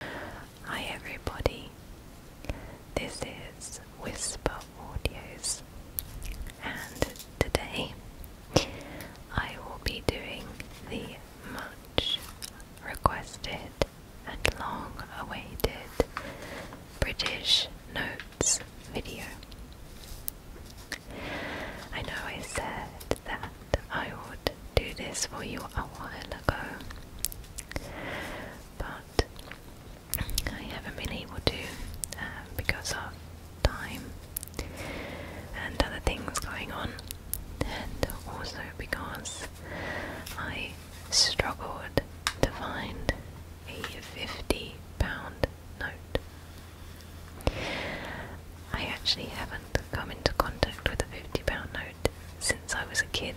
Hi everybody, this is Whisper Audios, and today I will be doing the much requested and long awaited British Notes video. I know I said that I would do this for you a while but I haven't been able to um, because of time and other things going on, and also because I struggled to find a 50 pound note. I actually haven't come into contact with a 50 pound note since I was a kid,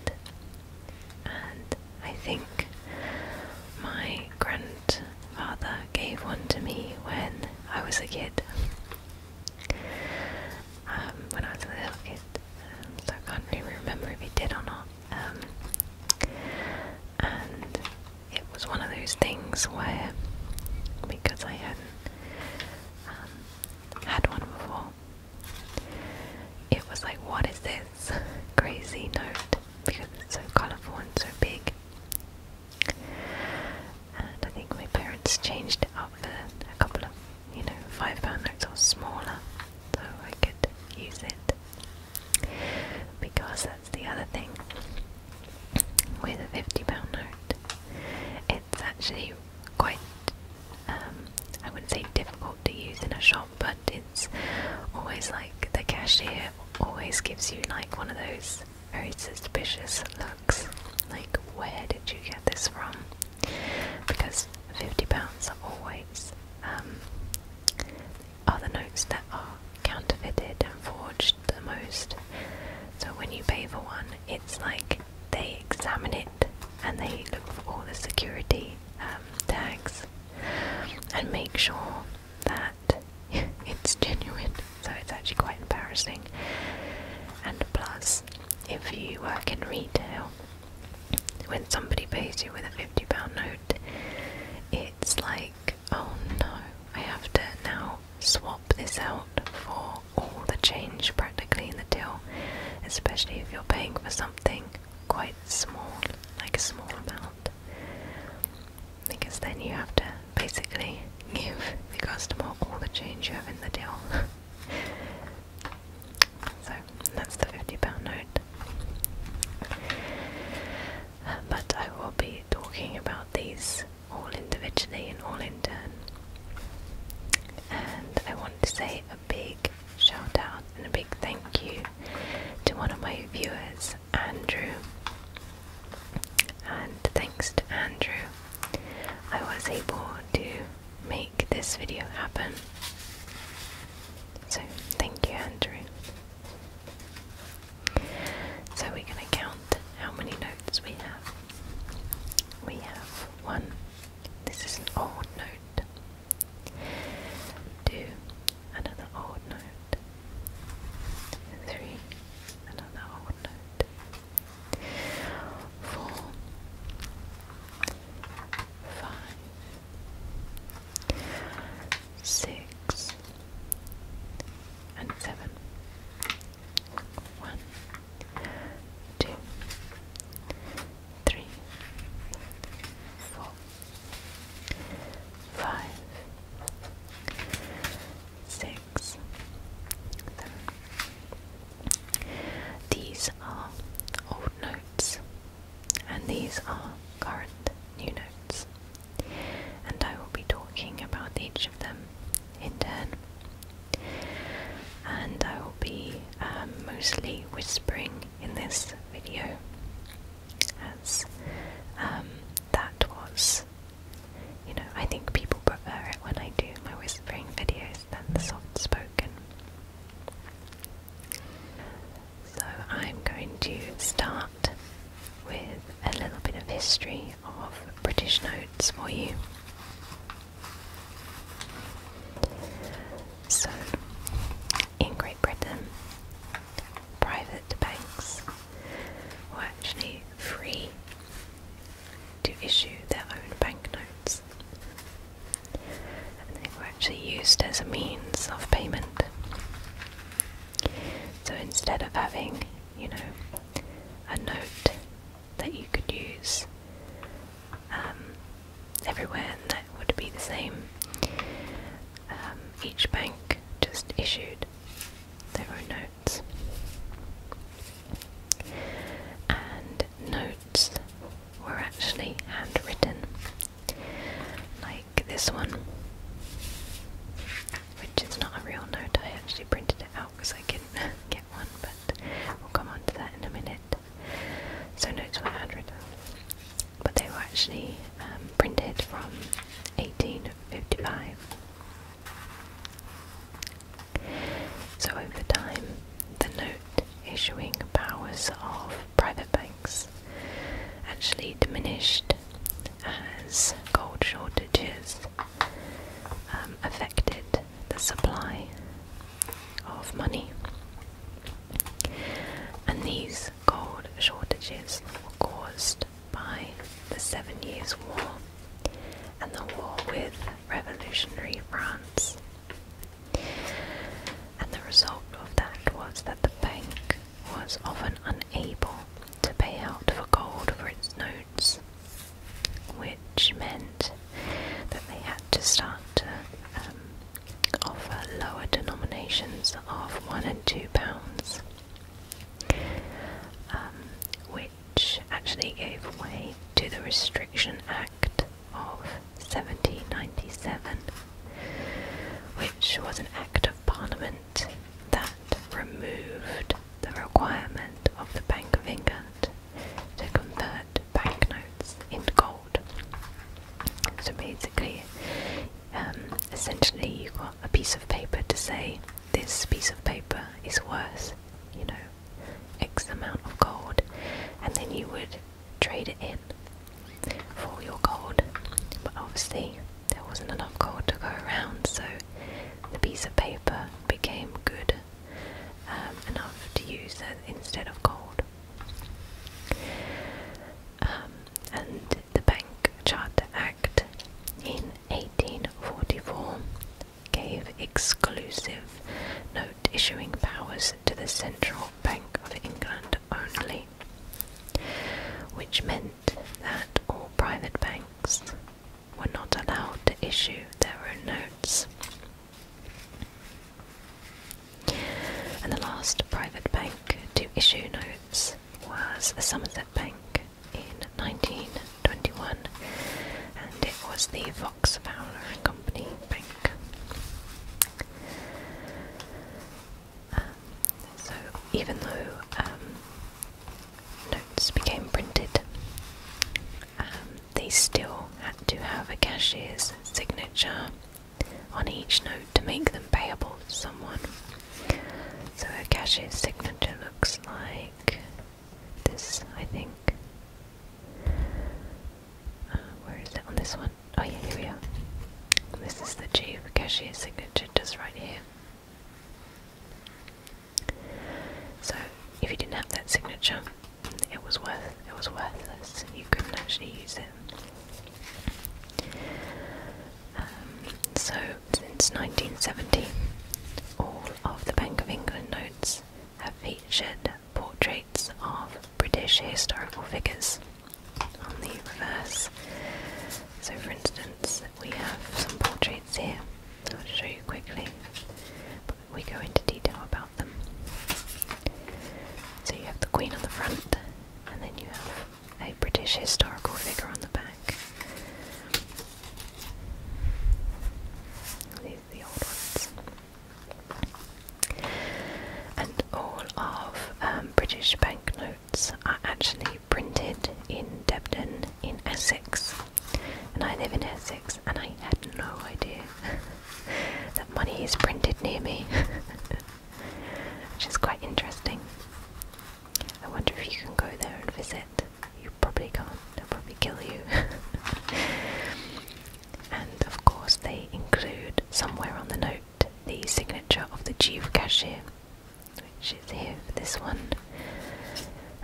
and I think my grandfather gave one to me when I was a kid. Um, when I was a little kid, um, so I can't really remember if he did or not. Um, and it was one of those things where, because I hadn't had one before, it was like, what is this crazy note? Because it's so colourful and so big. And I think my parents changed it up for a couple of, you know, five pound notes or smaller, so I could use it. Because that's the other thing with a fifty pound note. It's actually quite um, I wouldn't say difficult to use in a shop, but it's always like the cashier always gives you like one of those very suspicious looks. Like, where did you get this from? Because £50 are always um, are the notes that are counterfeited and forged the most. So when you pay for one, it's like they examine it and they look for all the security um, tags and make sure that it's genuine. So it's actually quite embarrassing. And plus, if you work in retail, when somebody pays you with a £50 note, it's like, oh no, I have to now swap this out for all the change practically in the deal, especially if you're paying for something quite small, like a small amount. Because then you have to basically give the customer all the change you have in the deal. so that's the £50 note. But I will be talking about these all individually and all in turn. And I want to say a big shout out and a big thank you to one of my viewers, Andrew. And thanks to Andrew, I was able to make this video happen. So, thank you, Andrew. So, we're going to count how many notes we have. We have one, this is an old note. Two, another old note. Three, another old note. Four, five, six, and seven. One, two, three, four, five, six, seven. These are old notes, and these are current new notes, and I will be talking about each of them in turn and I will be um, mostly whispering in this video as um, that was you know I think people prefer it when I do my whispering videos than the soft spoken so I'm going to start with a little bit of history of British notes for you. So, in Great Britain, private banks were actually free to issue their own banknotes, and they were actually used as a means of payment. So instead of having, you know, a note that you could use um, everywhere, and that would be the same. Um, each bank just issued their own notes, and notes were actually handwritten, like this one, which is not a real note. I actually printed it out because I couldn't get one, but we'll come on to that in a minute. So notes one hundred, but they were actually um, printed from 1855. So over time, the note issuing powers of private banks actually diminished as gold shortages um, affected the supply of money. And these gold shortages were caused by the Seven Years' War and the war with revolutionary France. And the result of that was that the bank was often unable to pay out for gold for its notes, which meant that they had to start to um, offer lower denominations of one and two pounds, um, which actually gave way to the Restriction Act of 1797, which was an act of Parliament that removed the requirement of the Bank of England to convert banknotes in gold. So basically, um, essentially, you got a piece of paper to say this piece of paper is worth, you know, X amount of gold, and then you would trade it in for your gold. But obviously, there wasn't enough gold to go around, so the piece of paper became good um, enough to use instead of gold. Um, and the Bank Charter Act in 1844 gave exclusive note issuing powers to the Central Bank of England only, which meant that all private banks were not allowed to issue their own notes and the last private bank to issue notes was the Somerset Bank in 1921, and it was the Fox Fowler and Company Bank. Um, so, even though um, notes became printed, um, they still had to have a cashier's signature on each note to make them payable to someone. So a cashier's signature looks like this, I think. Uh, where is it on this one? Oh yeah, here we are. This is the chief cashier's signature just right here. So if you didn't have that signature, it was worth it was worthless. You couldn't actually use it. Um, so since nineteen seventeen, all of the Bank of England notes have featured portraits of British historical figures on the reverse. So, for instance, we have some portraits here. I'll show you quickly. we go into detail about so you have the Queen on the front, and then you have a British historical figure on the back. These are the old ones. And all of um, British banknotes are actually printed in Debden in Essex. And I live in Essex and I had no idea that money is printed near me, which is quite interesting. I wonder if you can go there and visit. You probably can't, they'll probably kill you. and of course, they include somewhere on the note the signature of the chief cashier, which is here for this one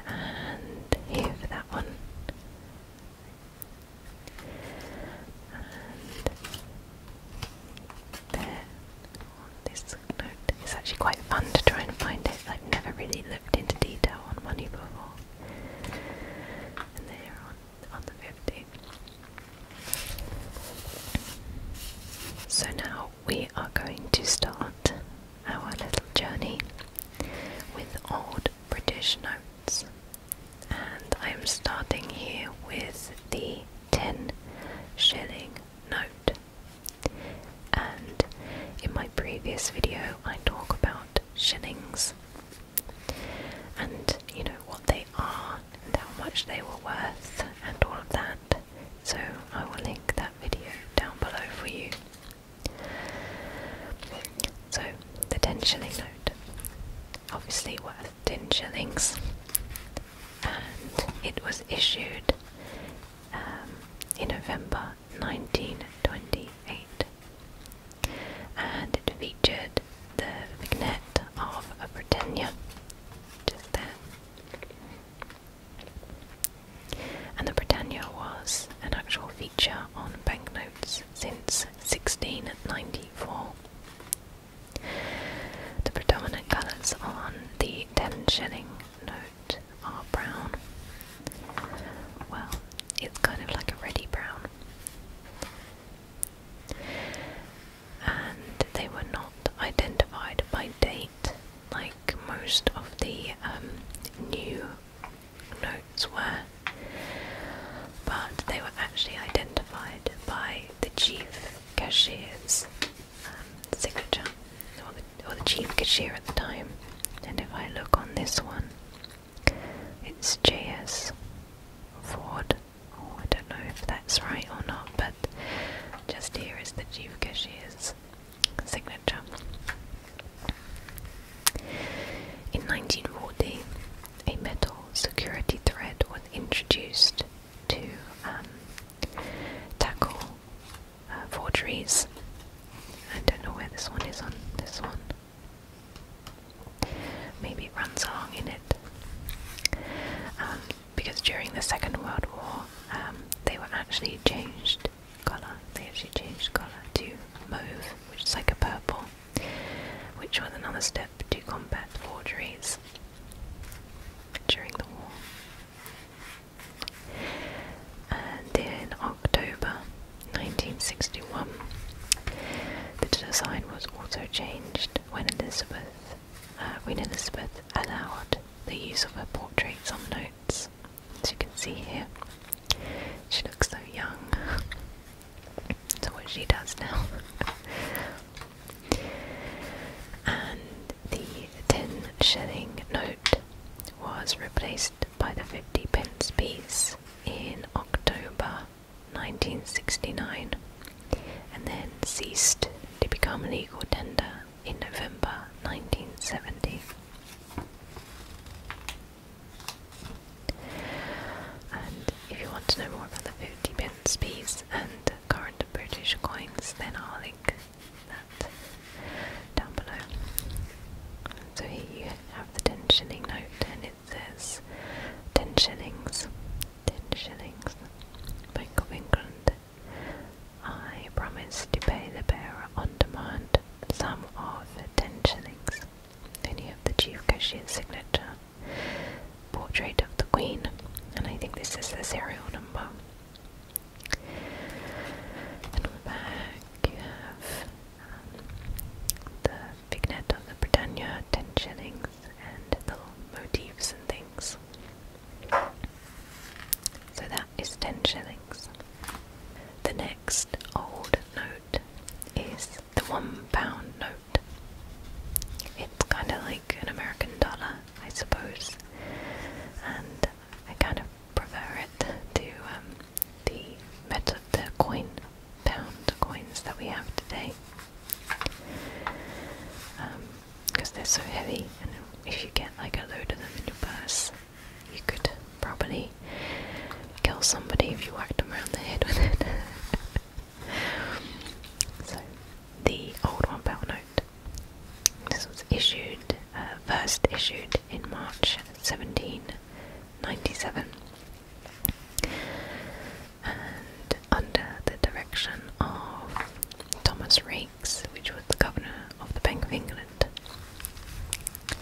and here for that one. And there on this note, it's actually quite fun to try and find it. I've never really looked into detail on money before. And there on, on the 50. So now we are going to start our little journey with old British notes and I'm starting here with the 10 shilling note. And in my previous video, I talk about shillings and you know what they are and how much they were worth and all of that. So I will link that video down below for you. So the ten shilling note, obviously worth ten shillings, and it was issued um, in November 1928, and it featured the vignette of a Britannia, And the Britannia was an actual on banknotes since 1694. The predominant colours on the 10 shilling note are brown. Well, it's kind of like a ready brown. And they were not identified by date like most of the um, new notes were, but they were actually identified by the chief cashier's um, signature, or the, chief cashier at the time. And if I look on this one, it's JS Ford. Oh, I don't know if that's right or not, but just here is the chief cashier's signature. In 1940, a metal security thread was introduced to um, tackle uh, forgeries. I don't know where this one is on this one. Maybe it runs along in it. Um, because during the Second World War, um, they were actually changed colour. They actually changed colour to mauve, which is like a purple which was another step to combat forgeries during the war. And in October 1961, the design was also changed when Elizabeth, uh, when Elizabeth allowed the use of her portraits on notes, as you can see here. She looks so young. So what she does now. and the ten shilling note was replaced by the fifty pence piece in October 1969 and then ceased to become legal tender in November 1970 if you want to know more about the 50 pence piece and current British coins, then I'll link that down below. So here you have the 10 shilling note, and it says 10 shillings, 10 shillings, Bank of England. I promise to pay the bearer on demand some of 10 shillings. Then you have the chief cashier's signature, portrait of the queen, and I think this is the serial number. And on the back you have um, the vignette of the Britannia, 10 shillings, and little motifs and things. So that is 10 shillings. The next old note is the one pound note. It's kind of like an American dollar, I suppose, and I kind of prefer it to um, the method, the coin pound coins that we have today, because um, they're so heavy. And if you get like a load of them in your purse, you could probably kill somebody if you whacked them around the head with it. so, the old one pound note. This was issued, uh, first issued in March 1797, and under the direction of Thomas Raikes, which was the governor of the Bank of England. Um,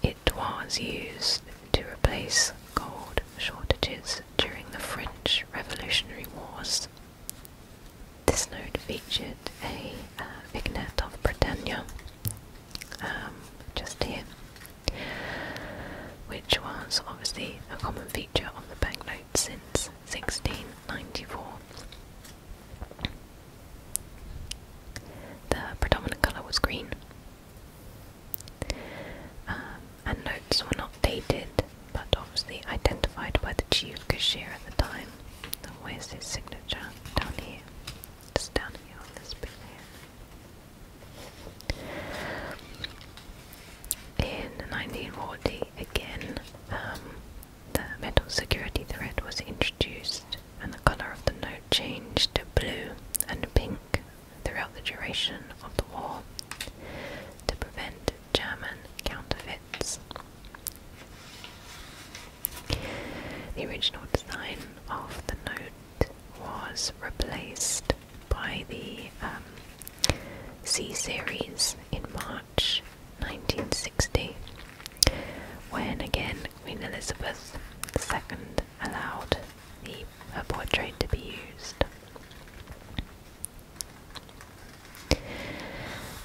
it was used to replace gold shortages during the French Revolutionary Wars. This note featured a uh, vignette of Britannia, um, just here, which was obviously a common feature on the banknote since 1694. The predominant colour was green. Um, and notes were not dated, but obviously identified by the chief cashier at the time. And where's his signature? Down here. Just down here on this bit here. In 1940, again, um, the metal security threat was introduced introduced, and the colour of the note changed to blue and pink throughout the duration of the war to prevent German counterfeits. The original design of the note was replaced by the um, C series in March 1960, when again Queen Elizabeth II allowed the, portrait to be used.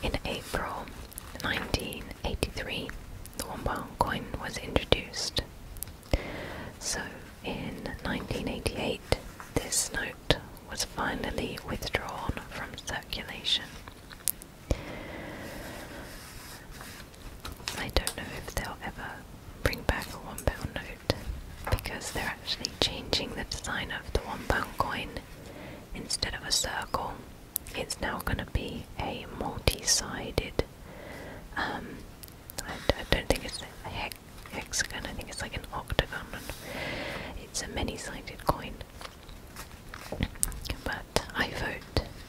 In April 1983, the one pound coin was introduced. So in 1988, this note was finally withdrawn from circulation I don't know if they'll ever bring back a one pound note because they're actually changing the design of the one pound coin. Instead of a circle, it's now going to be a multi sided. Um, I, don't think it's a hexagon, I think it's like an octagon. It's a many sided coin. But I vote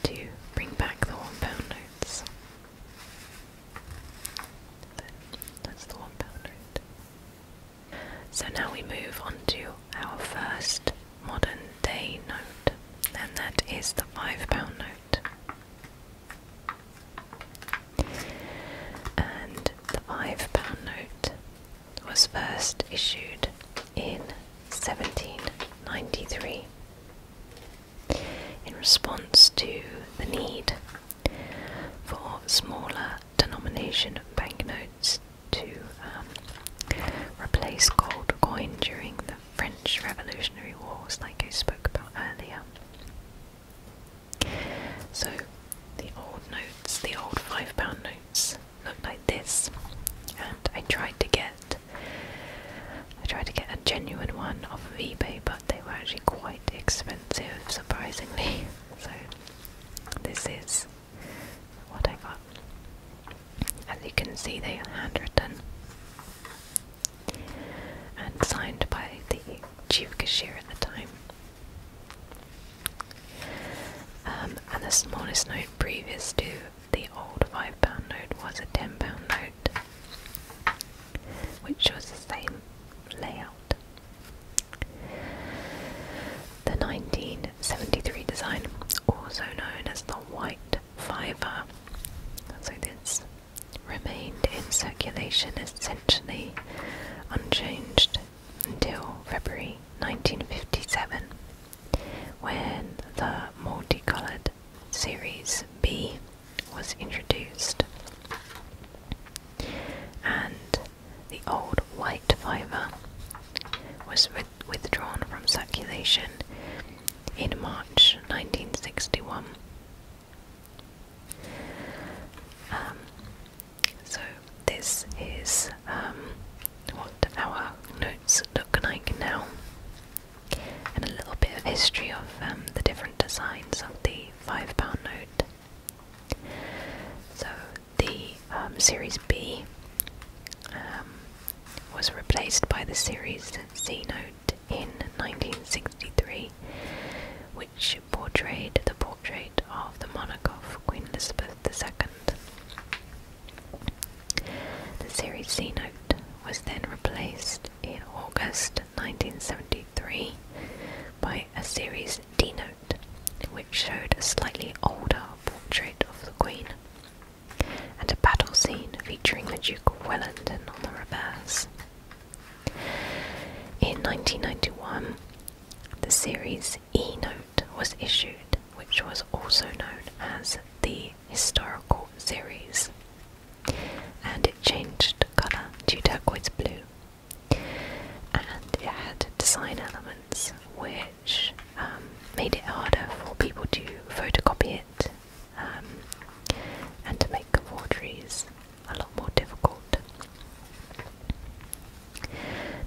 to bring back the one pound notes. That's the one pound note. So now we move on to our first modern day note, and that is the five pound note. And the five pound note was first issued in 1793 in response to the need for smaller denomination banknotes to um, replace gold coin during the French Revolutionary Wars, like I spoke about earlier. So the old notes, the old £5 notes, looked like this, and I tried to get I tried to get a genuine one off eBay, but they were actually quite expensive, surprisingly. So, this is what I got. As you can see, they are handwritten and signed by the chief cashier at the time. Um, and the smallest note previous to the old five pound note was a ten pound note, which was the same layout. The 1973 design, also known as the white fiver, so this remained in circulation essentially unchanged until February 1957 when the multicolored Series B was introduced, and the old white fibre was withdrawn from circulation in March 1961. Um, so, this is um, what our notes look like now and a little bit of history of um, the different designs of the £5 note. So the um, Series B um, was replaced by the Series C note in 1963, which portrayed the portrait of the monarch of Queen Elizabeth II. The series C note was then replaced in August 1973 by a series D note, which showed a slightly older portrait of the Queen and a battle scene featuring the Duke of Wellington on the reverse. In 1991, the series E note was issued, which was also known as the historical series, and it changed colour to turquoise blue. And it had design elements which um, made it harder for people to photocopy it um, and to make forgeries a lot more difficult.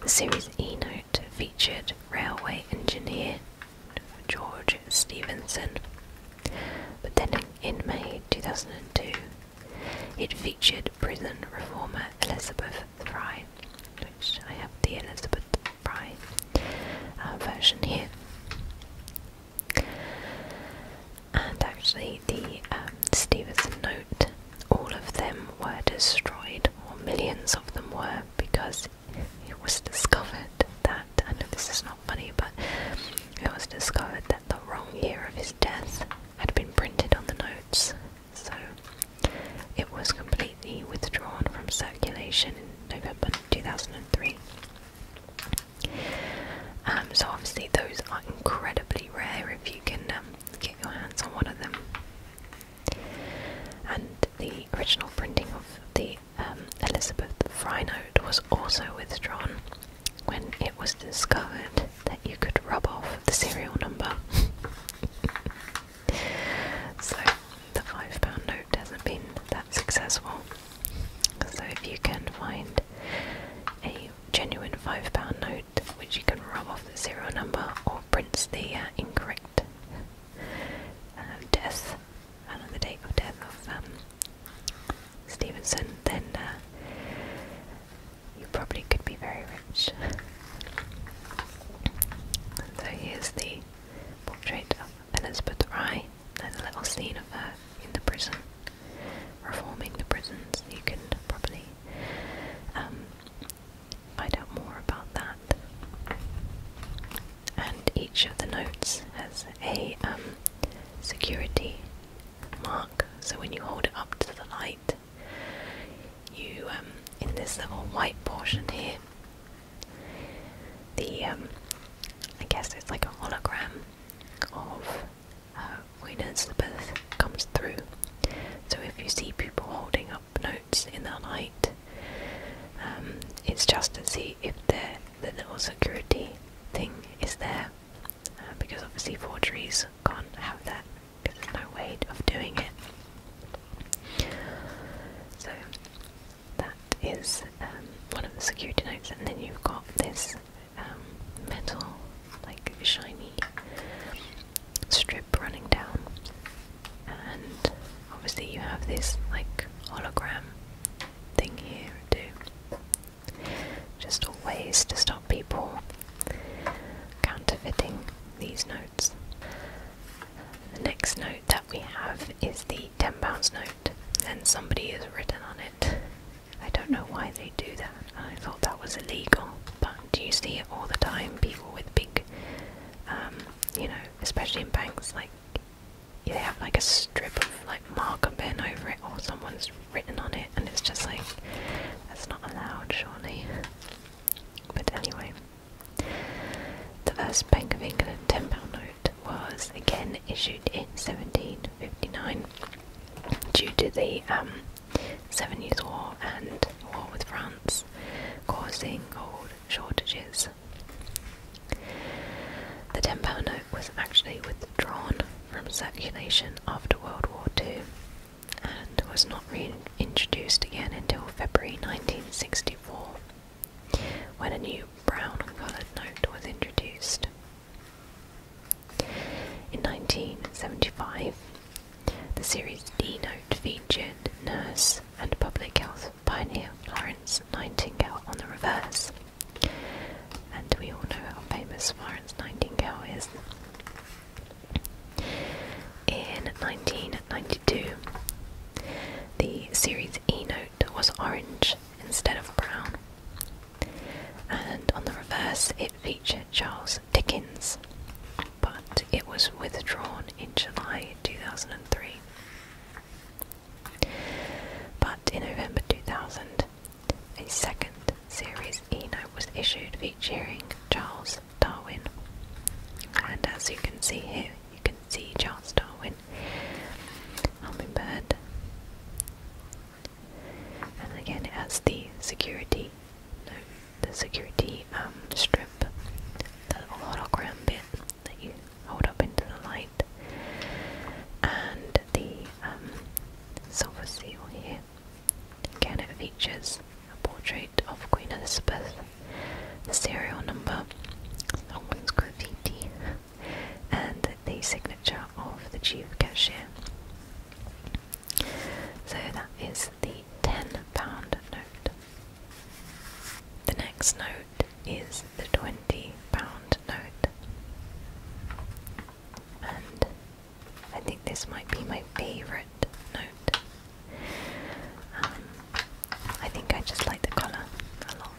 The series E Note featured railway engineer George Stevenson. But then in May 2002, it featured prison reformer Elizabeth Fry, which I have the Elizabeth Fry uh, version here. And actually, the um, Stevenson note, all of them were destroyed, or millions of them were, because it was discovered that I know this is not funny, but it was discovered that the wrong year of his death had been printed on the notes, so it was completely withdrawn from circulation in November 2003. Um, so obviously those are incredibly rare if you can um, get your hands on one of them. And the original printing of the um, Elizabeth Frynode was also withdrawn when it was discovered that you could rub off the serial number. so the five pound note hasn't been that successful. So if you can find a genuine five pound note which you can rub off the serial number or prints the uh, incorrect uh, death, and on the date of death of um, Stevenson, then uh, you probably could be very rich. and so here's the portrait of Elizabeth Rye. There's a little scene of her in the prison, reforming the prisons. You can probably um, find out more about that and each of the notes has a um, security mark. So when you hold it up to the light, you um, in this little white portion here, the um, I guess it's like a hologram of uh, Queen Elizabeth comes through. So if you see people holding up notes in the light, um, it's just to see if the, little security thing is there, uh, because obviously forgeries can't have that because there's no way of doing it. So that is um, one of the security notes, and then you've got this um, metal, like shiny strip running down, and obviously you have this like hologram thing here to Just all ways to stop people counterfeiting these notes. The next note that we have is the ten pounds note, and somebody has written on it. I don't know why they do that. I thought that was illegal, but do you see it all the time? People with big, um, you know, especially in banks, like they have like a strip of like marker pen over it or someone's written on it and it's just like that's not allowed surely but anyway the first bank of england 10 pound note was again issued in 1759 due to the um, seven years war and war with france causing gold shortages the £10 note was actually withdrawn from circulation after World War II and was not reintroduced again until February 1964 when a new brown coloured note was introduced. In 1975, the Series D note featured nurse and public health pioneer Florence Nightingale on the reverse. And we all know how famous Florence Nightingale is. In 1992, the Series E note was orange instead of brown, and on the reverse it featured Charles Dickens, but it was withdrawn in July 2003. But in November 2000, a second series E note was issued featuring Charles Darwin. And as you can see here, you can see Charles Darwin, Hummingbird. And again, it the security, no, the security um, strip, the hologram bit, that you hold up into the light, and the um, silver seal here. Again, it features a portrait of Queen Elizabeth, the serial number, along with graffiti, and the signature of the chief cashier. So that is the £10 note. The next note is the £20 note. And I think this might be my favourite note. Um, I think I just like the colour a lot.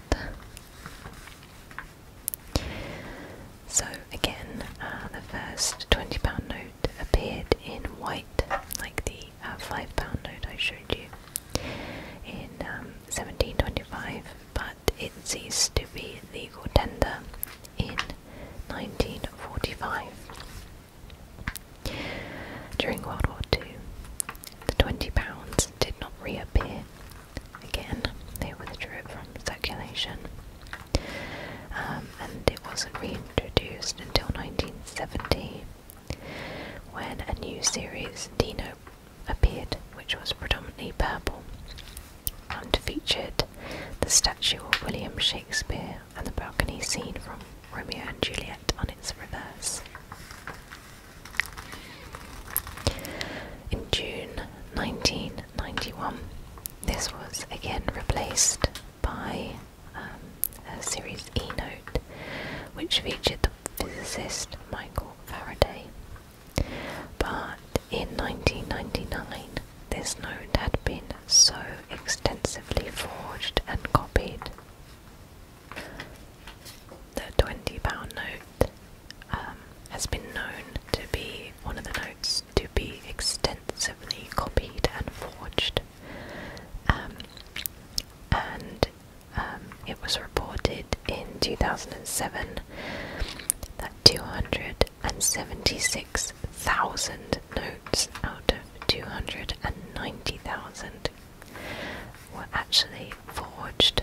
So, again, uh, the first £20 note appeared in white, like the uh, £5 note I showed you in 1725, um, but it ceased to be legal tender in 1945. During World War II, the £20 did not reappear again, they withdrew it from circulation, um, and it wasn't reintroduced until 1970 when a new series, Dino appeared, which was predominantly purple, and featured the statue of William Shakespeare and the balcony scene from Romeo and Juliet on its reverse. In June 1991, this was again replaced by um, a Series E note, which featured the physicist Michael Faraday. But in 1999, this note had been so extensively forged and copied. The £20 note um, has been known to be one of the notes to be extensively copied and forged. Um, and um, it was reported in 2007 that 276,000 notes out of 290,000 were actually forged.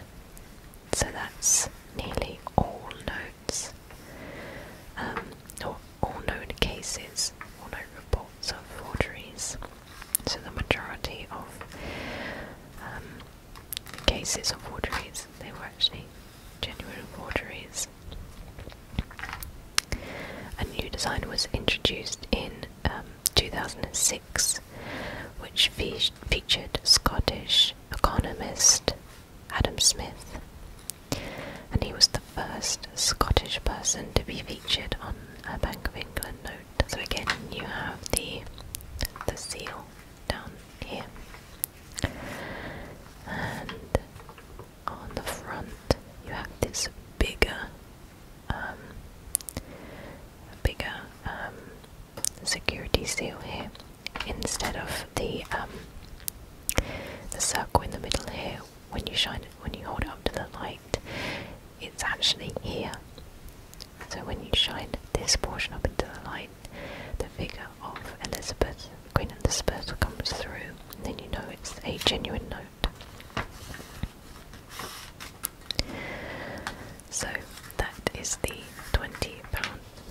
So that's nearly all notes, um, or all known cases, all known reports of forgeries. So the majority of um, cases of wateries, they were actually genuine wateries. A new design was introduced in um, 2006, which featured Scottish economist Adam Smith, and he was the first Scottish person to be featured on a uh, Bank of England note. So again, you have the the seal down here, and on the front you have this bigger, um, bigger um, security seal here instead of the um, the circle in the middle here. When you shine when you hold it up to the light, it's actually here. So when you shine this portion up into the light, the figure of Elizabeth, Queen Elizabeth, comes through, and then you know it's a genuine note. So that is the £20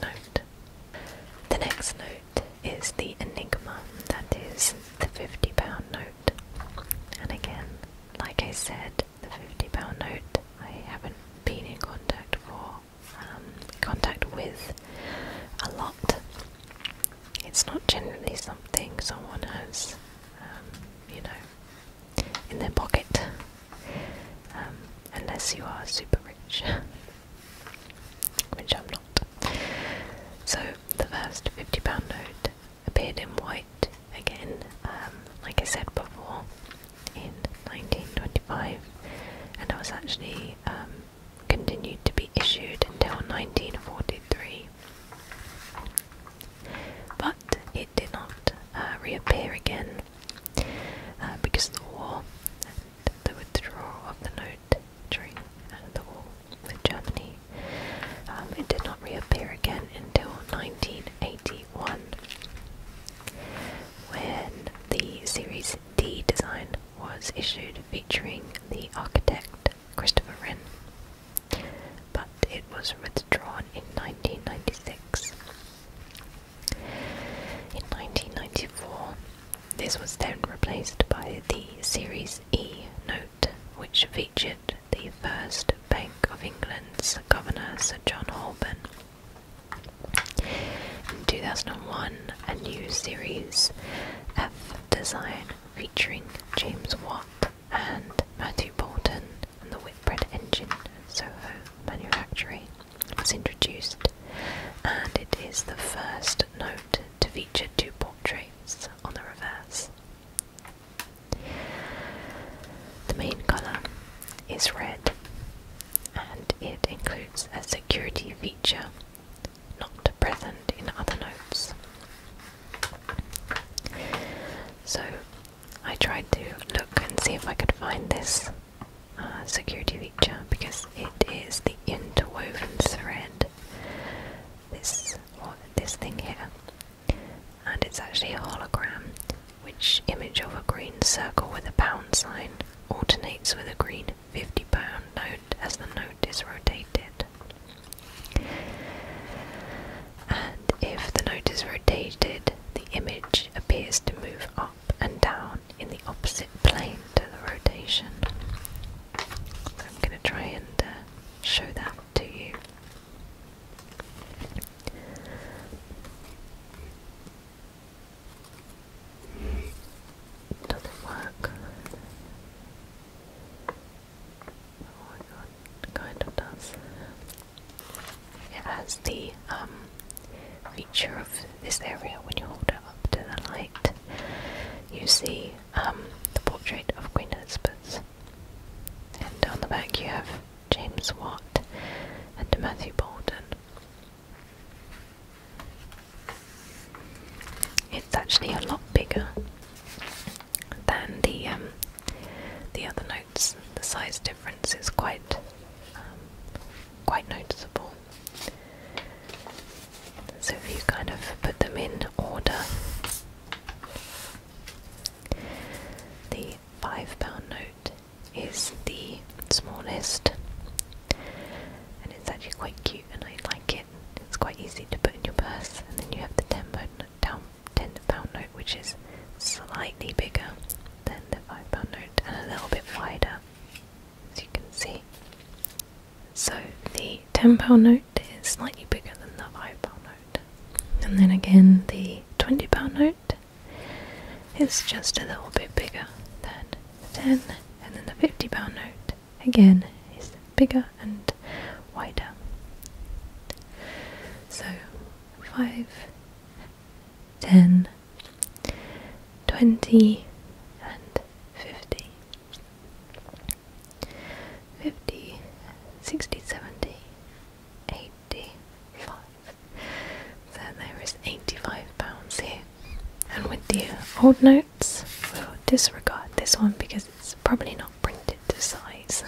note. The next note is the Enigma, that is the £50 note. And again, like I said, the 50 pound note I haven't been in contact for um, contact with a lot. It's not generally something someone has, um, you know, in their pocket, um, unless you are super rich, which I'm not. So the first £50 note appeared in white again, um, like I said before, in 1925, and it was actually um, continued to be issued until 1943. But it did not uh, reappear again uh, because of the war the withdrawal of the note during uh, the war with Germany. Um, it did not reappear again until 1980. 1981 when the Series D design was issued featuring the architect Christopher Wren, but it was withdrawn in 1996. In 1994, this was then replaced by the Series E note, which featured the first Bank of England's governor, Sir John Holborn. In 2001, a new series, F Design, featuring James Watt and Matthew Bolton and the Whitbread engine Soho Manufactory, was introduced, and it is the first note to feature two portraits on the reverse. The main color is red and it includes a security feature not present in other notes. So I tried to look and see if I could find this uh, security feature because it is the interwoven thread. This or this thing here and it's actually a hologram, which image of a green circle with a pound sign alternates with a green £50 note as the note is rotated. And if the note is rotated, the image appears to move up and down in the opposite plane to the rotation. I'm going to try and uh, show that to you. Doesn't work. Oh my god, kind of does. It has the um, feature of this area when you hold it up to the light, you see um, the portrait of Queen Elizabeth, and on the back you have James Watt, and Matthew Bolden. It's actually a lot bigger than the um, the other notes. The size difference is quite um, quite noticeable. So if you kind of put them in order, the five pound note is the smallest and it's actually quite cute and I like it. It's quite easy to put in your purse and then you have the ten pound ten pound note which is slightly bigger than the five pound note and a little bit wider as you can see. So the ten pound note is slightly bigger than the five pound note. And then again, the £20 note is just a little bit bigger than the 10 and then the £50 note again is bigger and wider. So 5, 10, 20 and 50. 50, 60, 70, 85 so there is 85 pounds here and with the old notes we'll disregard this one because it's probably not printed to size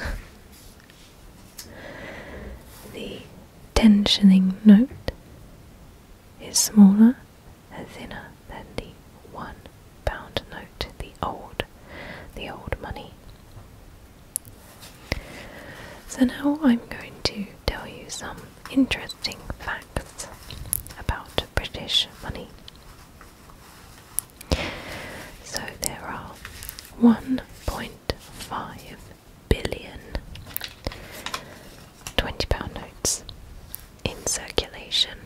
the tensioning note is smaller and thinner than the 1 pound note the old the old money so now I'm going to tell you some interesting facts about British money. So there are 1.5 billion 20 pound notes in circulation,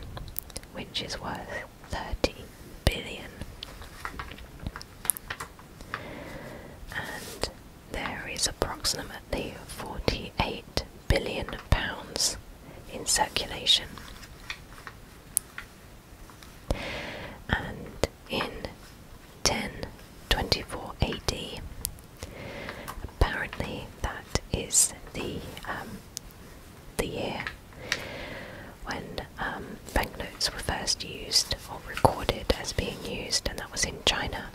which is worth 30 billion and there is approximately 48 billion pounds in circulation. And in 1024 AD, apparently that is the um, the year when um, banknotes were first used or recorded as being used, and that was in China.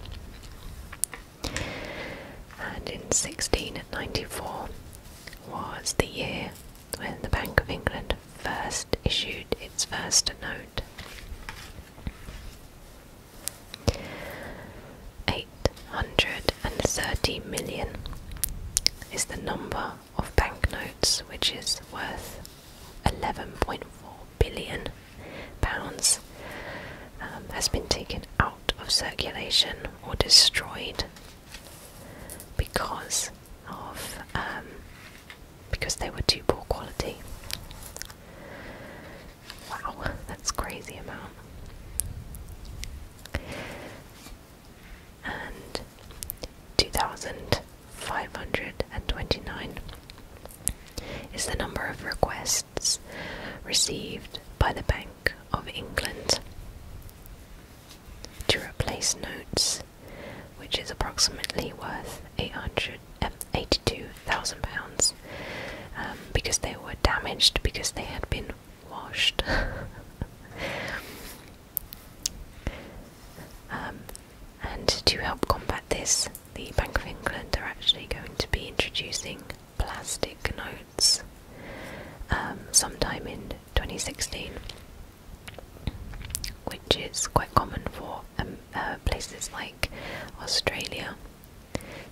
And in 1694 was the year when the Bank of England first issued its first note. 830 million is the number of banknotes which is worth 11.4 billion pounds um, has been taken out of circulation or destroyed because of um, because they were too poor quality. Wow, that's crazy amount and 2,529 is the number of requests received by the Bank of England to replace notes, which is approximately worth 882,000 pounds, um, because they were damaged because they had been washed. Um, and to help combat this, the Bank of England are actually going to be introducing plastic notes um, sometime in 2016, which is quite common for um, uh, places like Australia,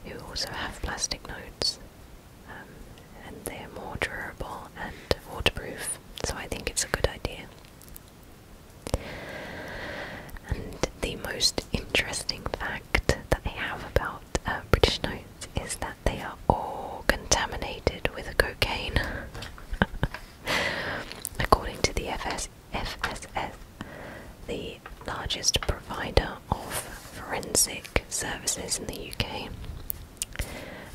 who also have plastic notes, and they're more durable and waterproof, so I think it's a good idea. And the most interesting fact that they have about uh, British notes is that they are all contaminated with cocaine. According to the FS FSS, the largest provider of forensic services in the UK,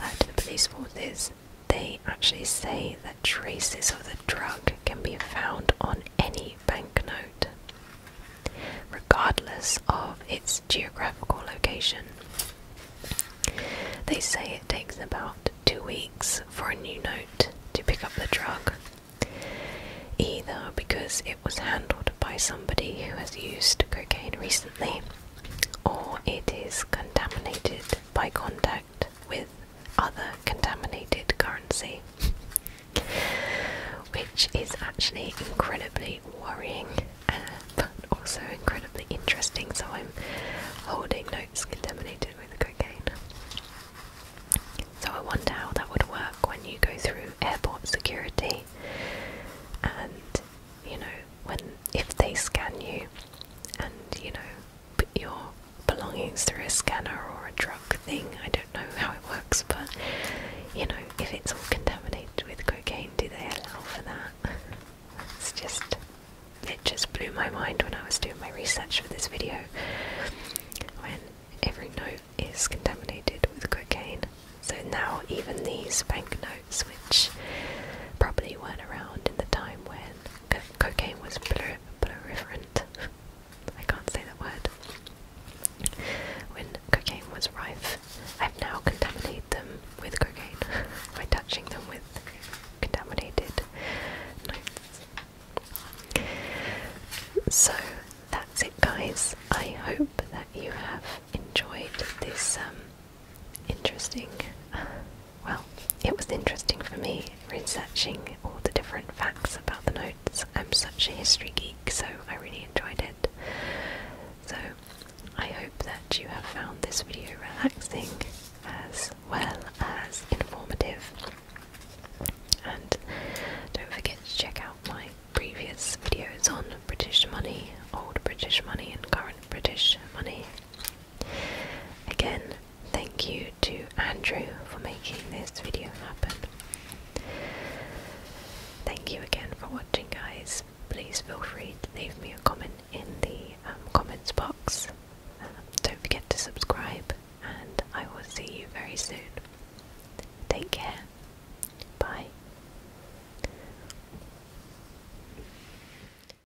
uh, to the police forces, they actually say that traces of the drug can be found on any banknote, regardless of its geographical location. They say it takes about two weeks for a new note to pick up the drug, either because it was handled by somebody who has used cocaine recently or it is contaminated by contact with other contaminated currency, which is actually incredibly worrying uh, but also incredibly interesting. So I'm holding notes contaminated with cocaine. So I wonder how that would work when you go through airport security and you know when if they scan you and you know put your belongings through a scanner or a drug thing. I don't know how it works, but you know, if it's all contaminated with cocaine, do they allow for that? it just blew my mind when I was doing my research for this video. When every note is contaminated with cocaine. So now even these banknotes, which probably weren't around in the time when cocaine was proliferant. I can't say that word. When cocaine was rife, I've now contaminated them with cocaine by touching them with contaminated So that's it, guys. I hope that you have enjoyed this um, Interesting. Well, it was interesting for me researching all the different facts about the notes. I'm such a history geek, so I really enjoyed it. So, I hope that you have found this video relaxing as well as informative. And don't forget to check out my previous videos on British money, old British money, and current British money. Again, thank you to Andrew for making this video happen. Thank you again for watching, guys. Please feel free to leave me a comment in the um, comments box. Um, don't forget to subscribe, and I will see you very soon. Take care. Bye.